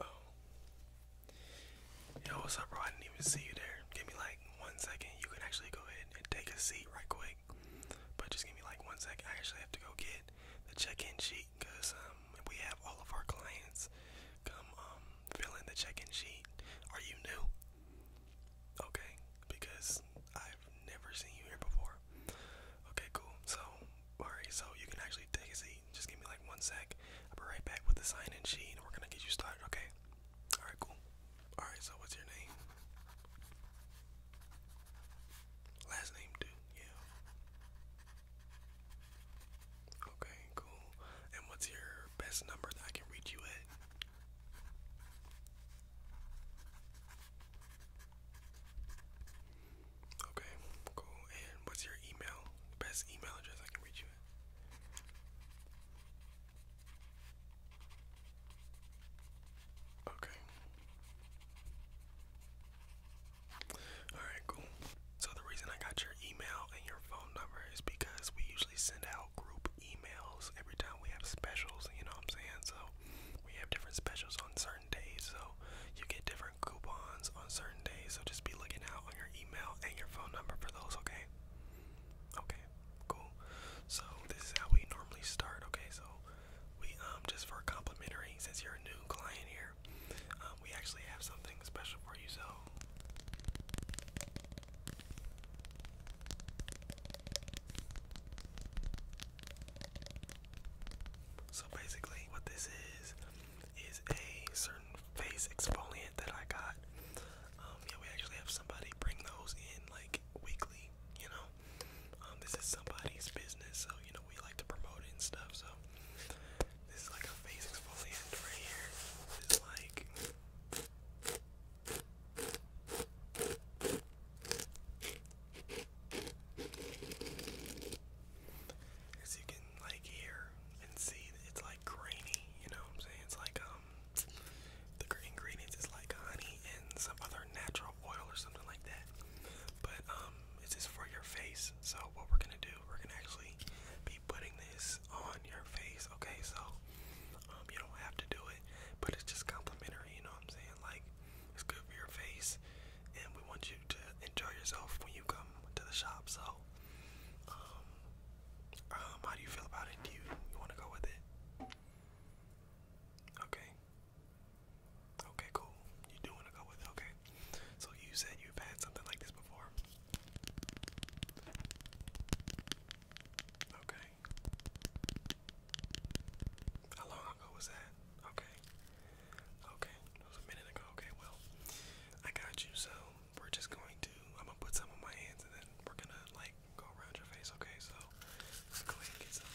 Oh. Yo, what's up, bro? I didn't even see you there. Give me like one second. You can actually go ahead and take a seat right quick. But just give me like one second. I actually have to go get the check-in sheet because um, we have all of our clients come um, fill in the check-in sheet. Are you new? Okay, because I I've never seen you here before. Okay, cool. So, alright, so you can actually take a seat. Just give me like one sec. I'll be right back with the sign in sheet and we're gonna get you started, okay? Alright, cool. Alright, so what's your name? Last name, dude, yeah. Okay, cool. And what's your best number that I can reach you at? Okay, cool. And what's your email? Best email address I can reach you at? Okay. Alright, cool. So, the reason I got your email and your phone number is because we usually send out group emails every time we have specials, you know what I'm saying? So, we have different specials on certain days, so you get different coupons on certain days. So just be looking out on your email and your phone number for those, okay? Okay, cool. So this is how we normally start, okay? So we um just for complimentary, since you're a new client here, um, we actually have something special for you. So so basically what this is is a certain face exfoliant that I got. Um yeah we actually have somebody bring those in like weekly, you know. Um this is somebody's business, so you know we like to promote it and stuff, so this is like a face exfoliant right here. It's like as you can like hear and see, it's like grainy. You know what I'm saying? It's like um, the ingredients is like honey and some other natural oil or something like that. But um, this is for your face. So what we're gonna do, we're gonna actually be putting this on your face. Okay, so um, you don't have to do it, but it's just complimentary, you know what I'm saying? Like, it's good for your face, and we want you to enjoy yourself when you come to the shop. So, um, um how do you feel about it? Do you want to go with it? Okay. Okay, cool. You do want to go with it, okay. So, you said you've had something like this before? Okay. How long ago was that? Okay. Okay. It was a minute ago. Okay, well, I got you. So we're just going to, I'm going to put some on my hands and then we're going to like go around your face. Okay, so let's go and get some.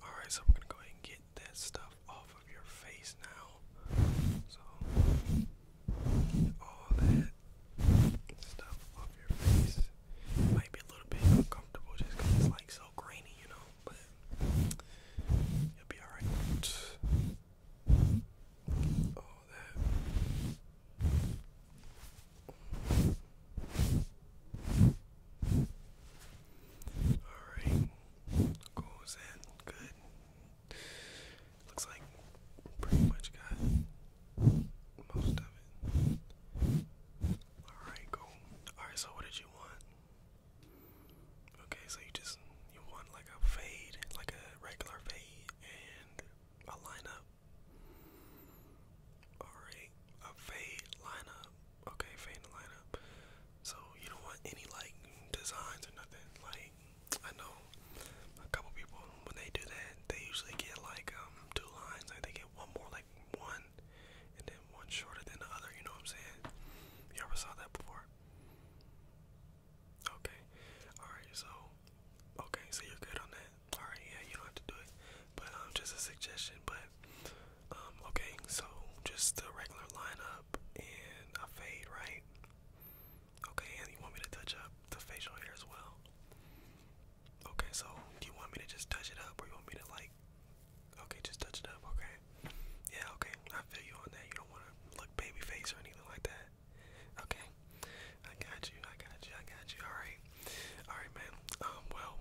All right, so I'm going to go ahead and get that stuff off of your face now. So all that stuff off your face. might be a little bit uncomfortable just it's like so grainy, you know, but you'll be alright. All that. Alright, goes in, good. Looks like pretty much got most of it. Alright, cool. Alright, so what did you want? Okay, so you just you want like a fade, like a regular fade and a lineup. Alright, a fade lineup. Okay, fade and lineup. So you don't want any like designs or nothing, like I know a couple people when they do that, they usually get like um two lines, like they get one more like one, and then one shorter than the other. You know what I'm saying? You ever saw that before? Okay, all right. So, okay, so you're good on that. All right, yeah, you don't have to do it, but um, just a suggestion. But um, okay, so just the regular lineup and a fade, right? Okay, and you want me to touch up the facial hair as well? Okay, so do you want me to just touch it up or you want me to like okay, just touch it up, okay? Yeah, okay. I feel you on that. You don't wanna look baby face or anything like that. Okay. I got you, I got you, I got you. Alright. Alright man. Um well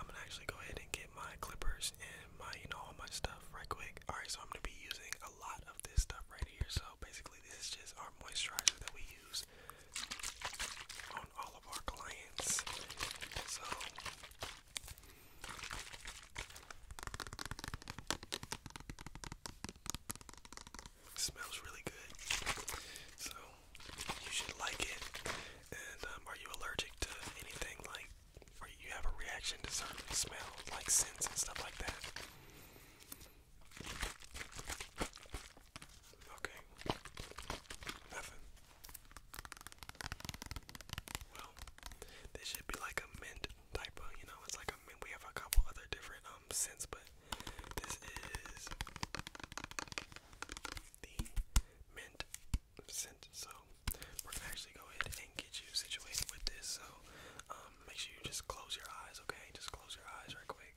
I'm gonna actually go ahead and get my clippers and my you know all my stuff right quick. Alright, so I'm gonna be using a lot of this stuff right here. So basically, this is just our moisturizer that we use on all of our clients. smells really good, so you should like it. And um, are you allergic to anything like or you have a reaction to certain smells, like scents and stuff like that. Okay. Nothing. Well, this should be like a mint type you know, it's like We have a couple other different um scents, but this is the mint scent. So we're gonna actually go ahead and get you situated with this. So um, make sure you just close your eyes, okay? Just close your eyes real quick,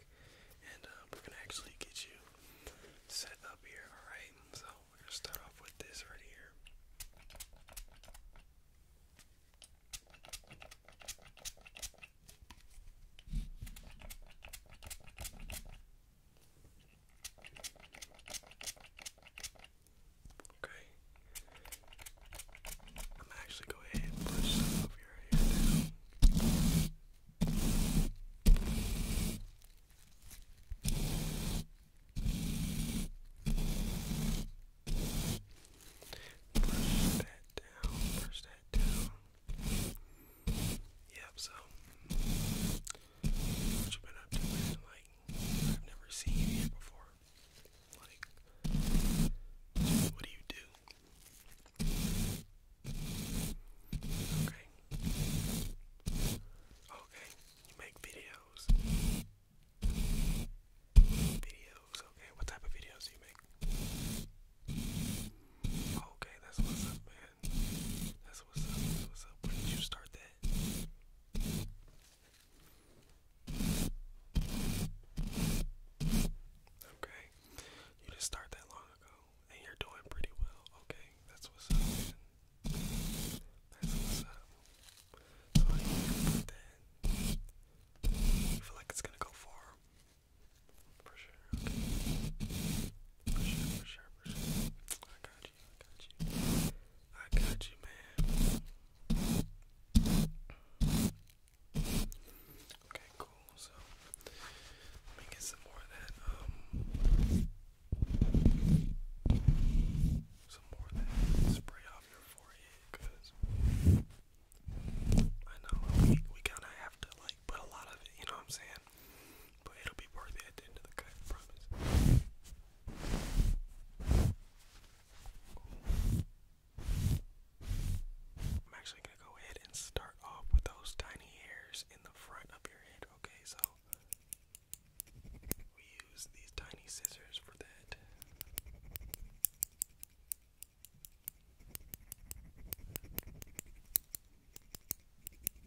and um, we're gonna actually get you set up here. All right. So we're gonna start off with this right here. Okay. I'm actually gonna go ahead and push some your hair down. Brush that down, brush that down. Yep, so what you been up to Like I've never seen you here before. Like, what do you do? Okay. Okay. You make videos. Videos. Okay. What type of videos you make? Okay. That's what's up, man. That's what's up. what's up. When did you start that? Okay. You didn't that long ago and you're doing pretty well. Okay, that's what's up. That's what's up. So I put that. You feel like it's gonna go far. For sure. For sure, for sure, I got I got you. man. Okay, cool. So let me get some more of that. Um, some more of that spray off your forehead, cause. I know we, we kind of have to like put a lot of it, you know what I'm saying? But it'll be worth it at the end of the cut, I promise. I'm actually going to go ahead and start off with those tiny hairs in the front of your head, okay? So we use these tiny scissors for that.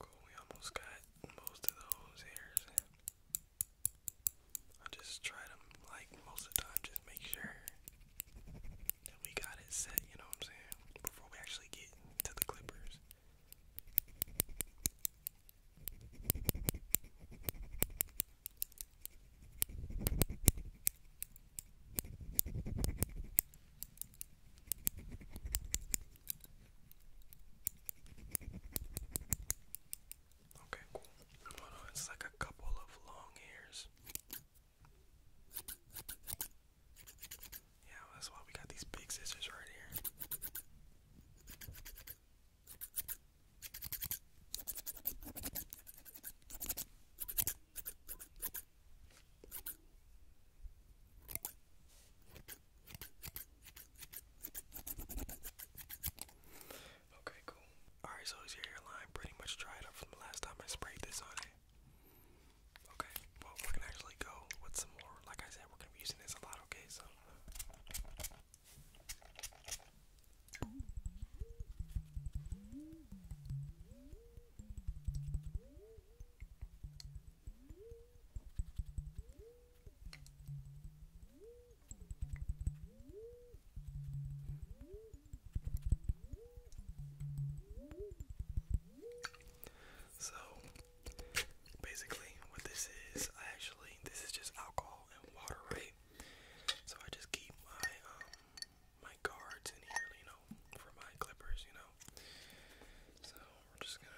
Cool, we almost got most of those hairs. I just try to, like, most of the time, just make sure that we got it set, you know what I'm saying? Before we actually get to the clippers. Okay, cool. it's like a couple of long hairs. Yeah, that's why we got these big scissors right here. Okay, cool. Alright, so is your hairline pretty much dried up from the last time I sprayed this on it? Okay, well, we're actually go with some more. Like I said, we're gonna be using this a lot, okay? So. So basically what this is, I actually this is just alcohol and water, right? So I just keep my um my guards in you know, for my clippers, you know. So we're just gonna.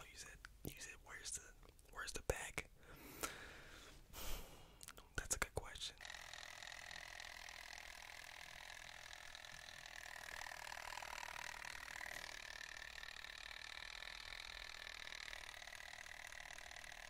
Oh, you said you said where's the where's the bag? That's a good question.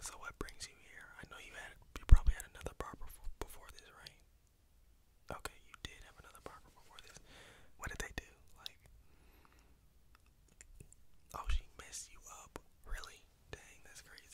So what brings you here? I know you had you probably had another barber before this, right? Okay, you did have another barber before this. What did they do? Like, oh, she messed you up, really? Dang, that's crazy.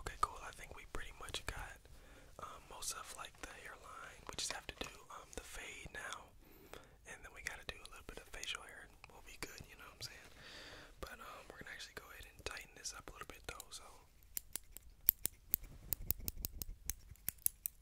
Okay, cool. I think we pretty much got um, most of like the hairline. We just have to do um, the fade now, and then we gotta do a little bit of facial hair, we'll be good. You know what I'm saying? But um, we're gonna actually go ahead and tighten this up a little bit though. So.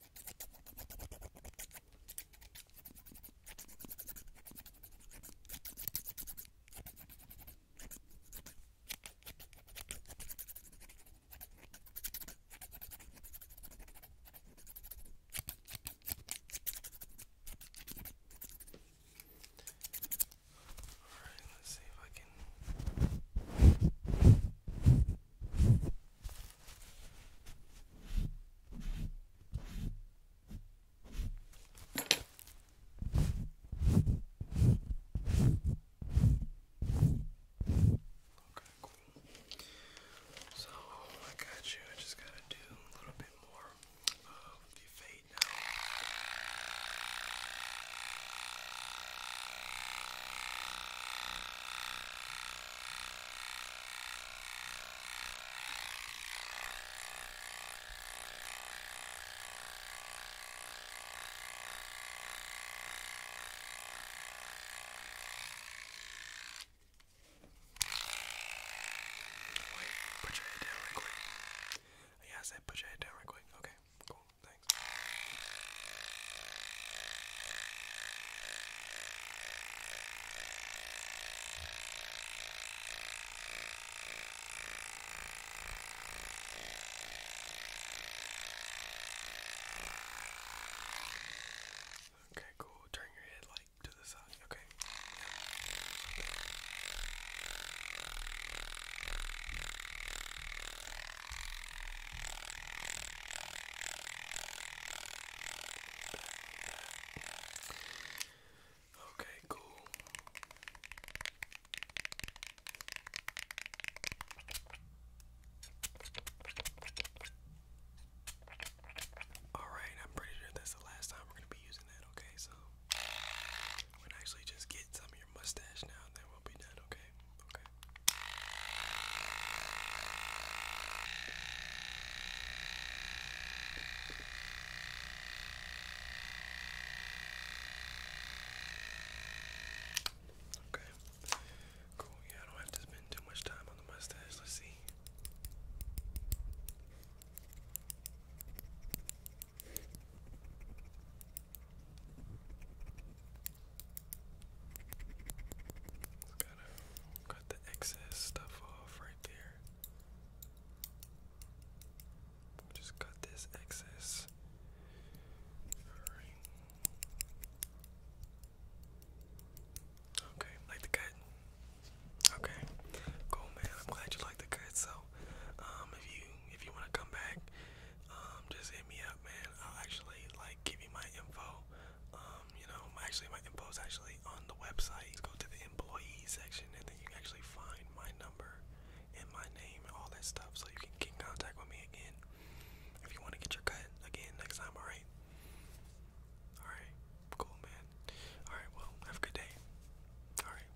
Alright, let's see if I can Okay, cool. So, I got you. I just gotta do a little bit more of the fade now. Wait, put your head down right quick. Yeah, I said put your head down right quick. Okay, cool. Thanks. Okay, cool. Turn your head like to the side. Okay. Yeah. Okay, cool. Alright, I'm pretty sure that's the last time we're going to be using that, okay? So, we're actually just get some mustache now, and then we'll be done, okay? Okay. Okay. Cool. Yeah, I don't have to spend too much time on the mustache. Let's see gotta cut the excess stuff off right there. Just cut this excess. Okay, like the cut. Okay, cool, man. I'm glad you like the cut. So, um, if you if you want to come back um, just hit me up, man. I'll actually like give you my info. Um, you know, actually my info is actually on the website. go to the employee section, and then you can actually find my number and my name and all that stuff, so you can get in contact with me again if you want to get your cut again next time. All right. All right. Cool, man. All right. Well, have a good day. All right.